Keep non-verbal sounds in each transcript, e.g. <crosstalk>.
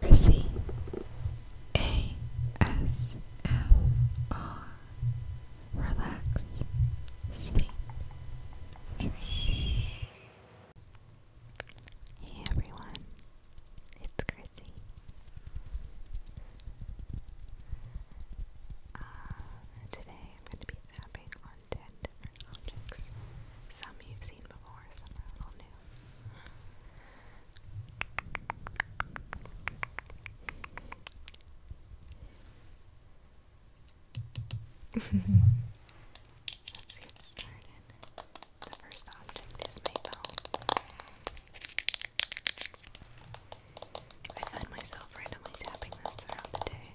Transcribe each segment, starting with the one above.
Mercy A S M R Relax Sleep Dream Hey everyone, it's Chrissy. Uh, today I'm going to be tapping on 10 different objects. Some you've seen before, some are a little new. Let's get started. The first object is Maybell. I find myself randomly tapping this throughout the day.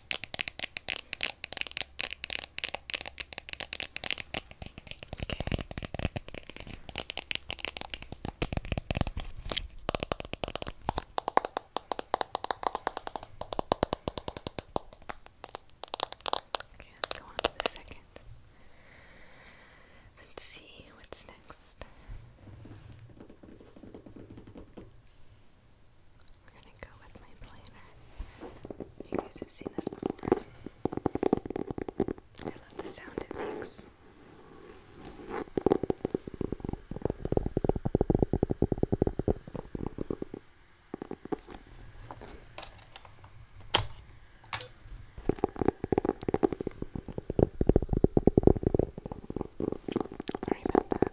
Okay. Okay, let's go on to the second. Let's see what's next. We're gonna go with my planner. You guys have seen this before. I love the sound it makes. Sorry about that.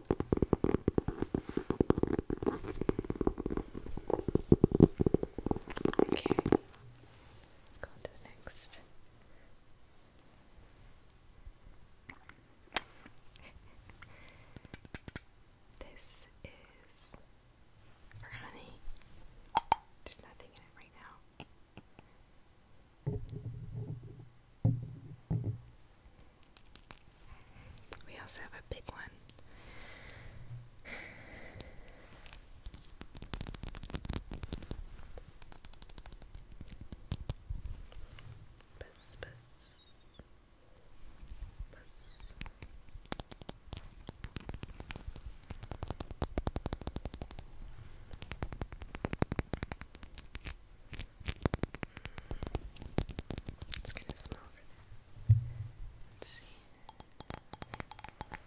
Okay, go to the next. <laughs> this is for honey. There's nothing in it right now. We also have a big one. It's gonna smell over there. Let's see. Okay.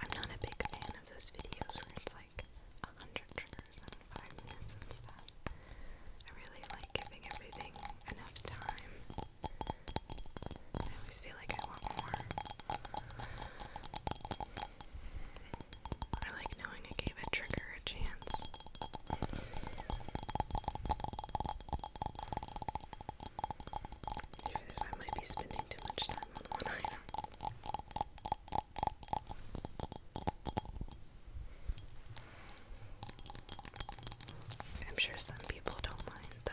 I'm not a big fan of those videos where it's like a hundred triggers in five minutes and stuff. I really like giving everything enough time. I always feel like I want more. I like knowing I gave a trigger a chance. I might be spending too much time on one item. I'm sure some people don't mind the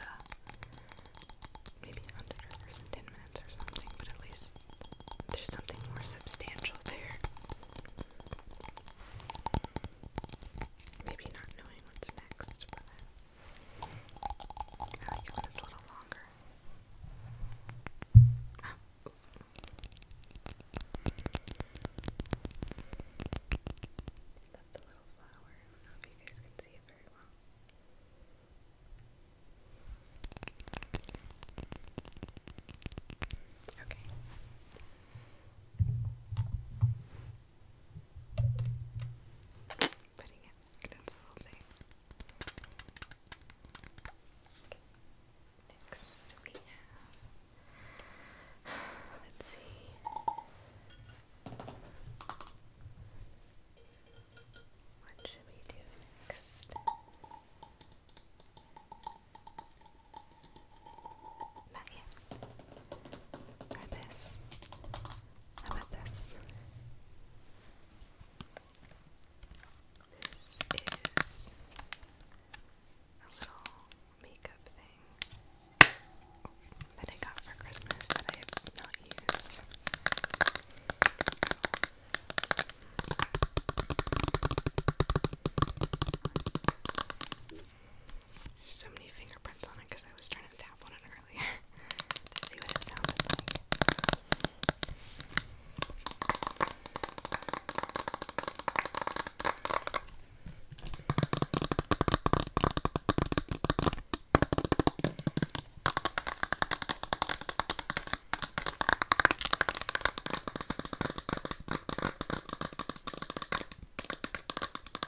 maybe under hours and ten minutes or something, but at least there's something more substantial there. Maybe not knowing what's next, but I That's a little flower. I don't know if you guys can see it very well. Okay. Putting it console thing. Next we have, let's see. What should we do next? Not yet. Or this. How about this? This is a little makeup thing that I got for Christmas that I have not used. There's so many fingerprints on it because I was trying didn't tap on it earlier <laughs> to see what it sounded like.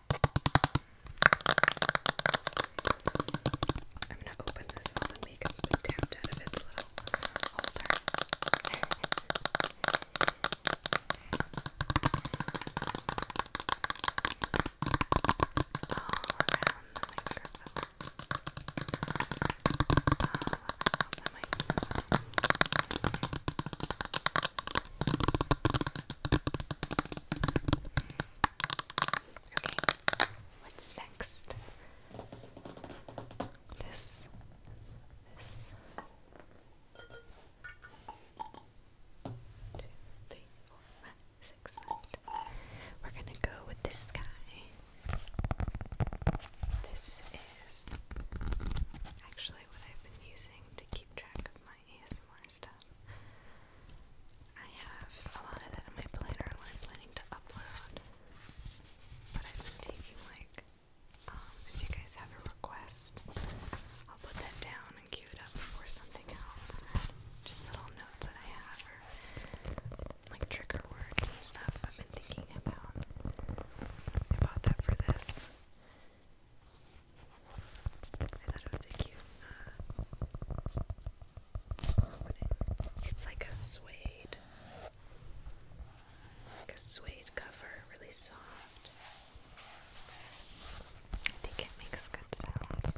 I'm gonna open this while the makeup's been tapped out of its little holder. All around the microphone. All around the microphone. Okay, what's next? This. this. Two, three, four, five, six, eight. We're gonna go with this guy. This is actually what I've been using to keep track of my ASMR. ASMR stuff. I have a lot of that in my planner I'm planning to upload. But I've been taking like um, if you guys have a request, I'll put that down and queue it up for something else. Just little notes that I have or like trigger words and stuff. I've been thinking about about that for this. I thought it was a cute uh, It's like a suede, like a suede cover, really soft. I think it makes good sounds.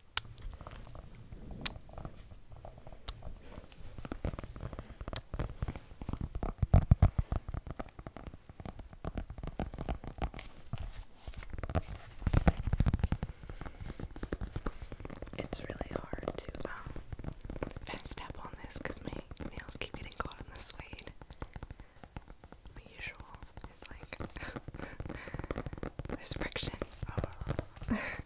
It's really hard to um, fast tap on this because my nails keep getting caught in the suede. My usual is like <laughs> there's friction. Oh. <laughs>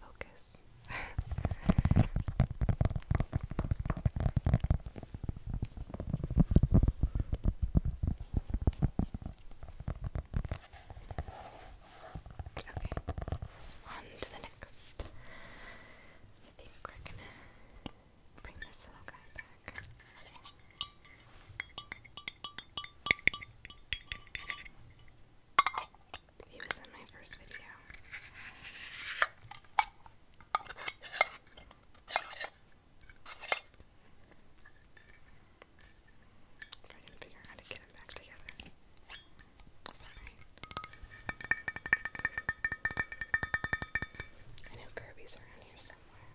Focus. okay, on to the next. I think we're gonna bring this little guy back. He was in my first video. If I can figure out how to get him back together. I know Kirby's around here somewhere.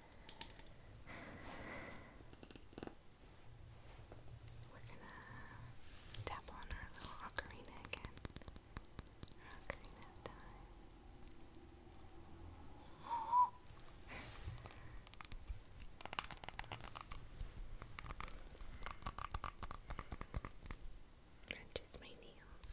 we're gonna tap on our little ocarina again. Our time. <gasps> Crunches my nails.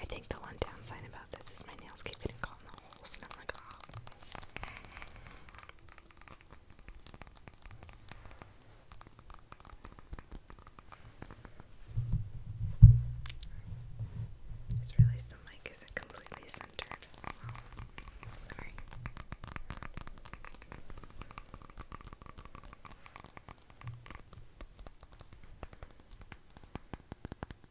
I think the one downside about Oh, this is my nails keep getting in the holes, Just realized the mic isn't completely centered. Sorry.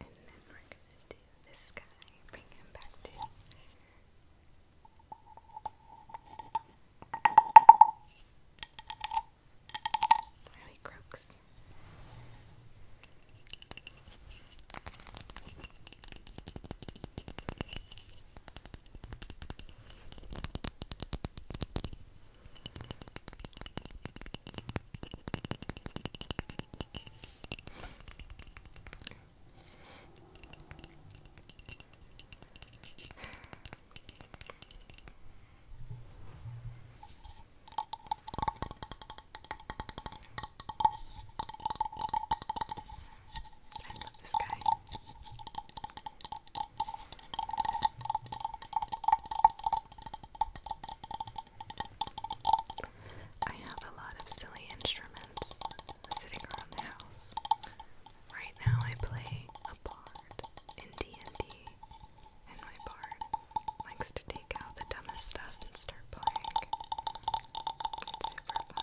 And then we're gonna do this guy, bring him back to where he croaks. Okay, I love this guy. I have a lot of silly instruments sitting around the house. Right now I play a bard in D&D and my bard likes to take out the dumbest stuff and start playing. It's super fun.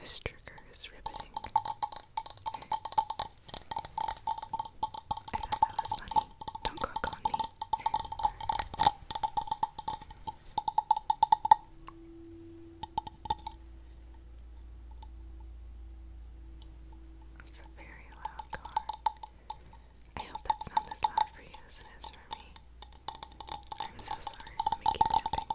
This trigger is riveting. <laughs> I thought that was funny. Don't cook on me. It's a very loud car. I hope that's not as loud for you as it is for me. I'm so sorry. Let me keep tapping.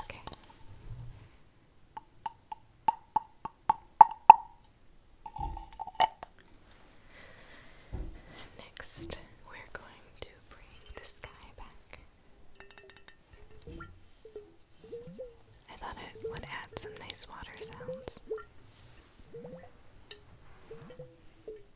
Okay. Next, we're going to bring the sky back. I thought it would add some nice water sounds.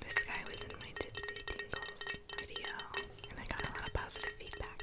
This guy was in my tipsy tingles video, and I got a lot of positive feedback.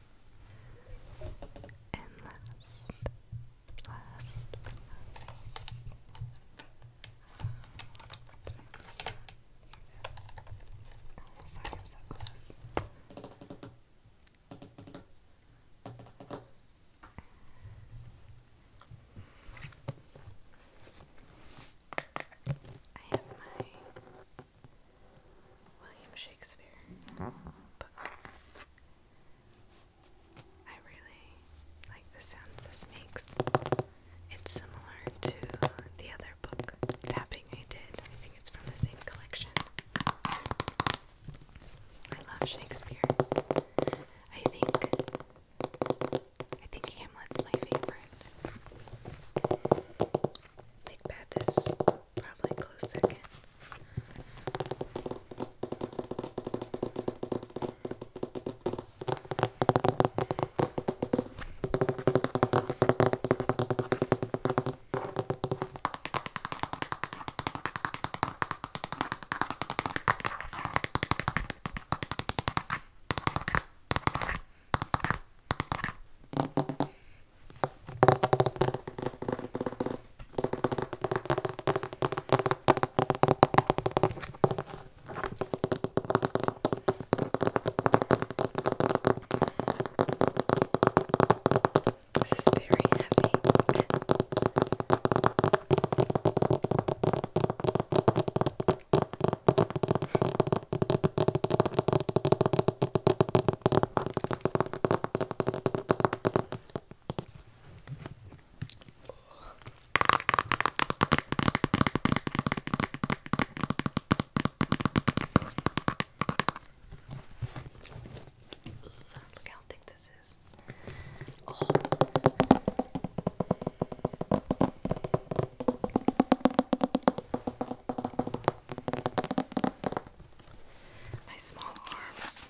and last, last, last. I have my William Shakespeare book. I really like the sound this makes. It's similar to the other book tapping I did. I think it's from the same collection. I love Shakespeare. I think I think Hamlet's my favorite. Macbeth is probably close second. This is very heavy. Look how thick this is. Oh. My small arms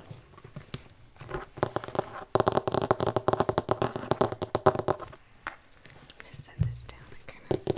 I'm gonna set this down and kind of. Okay.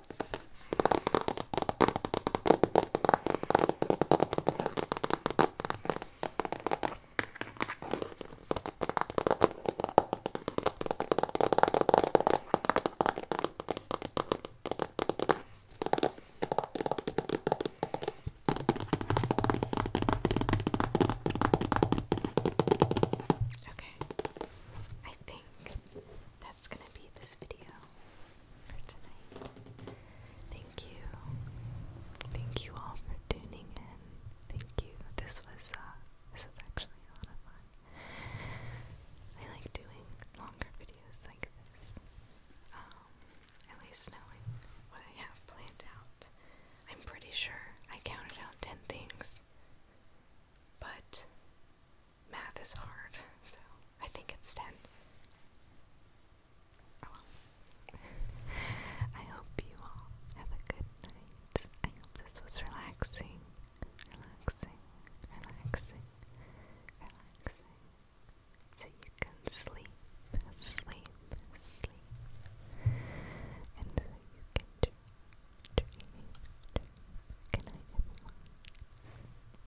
Okay, I think that's gonna be this video for tonight. Thank you. Thank you all for tuning in. Thank you. This was uh, this was actually a lot of fun. I like doing longer videos like this. Um, at knowing what I have planned out. I'm pretty sure I counted out ten things. But math is hard, so I think it's 10. <laughs> I hope you all have a good night. I hope this was relaxing. Relaxing, relaxing, relaxing. So you can sleep, sleep, sleep. And so you can dream, dream, dream. Good night, everyone.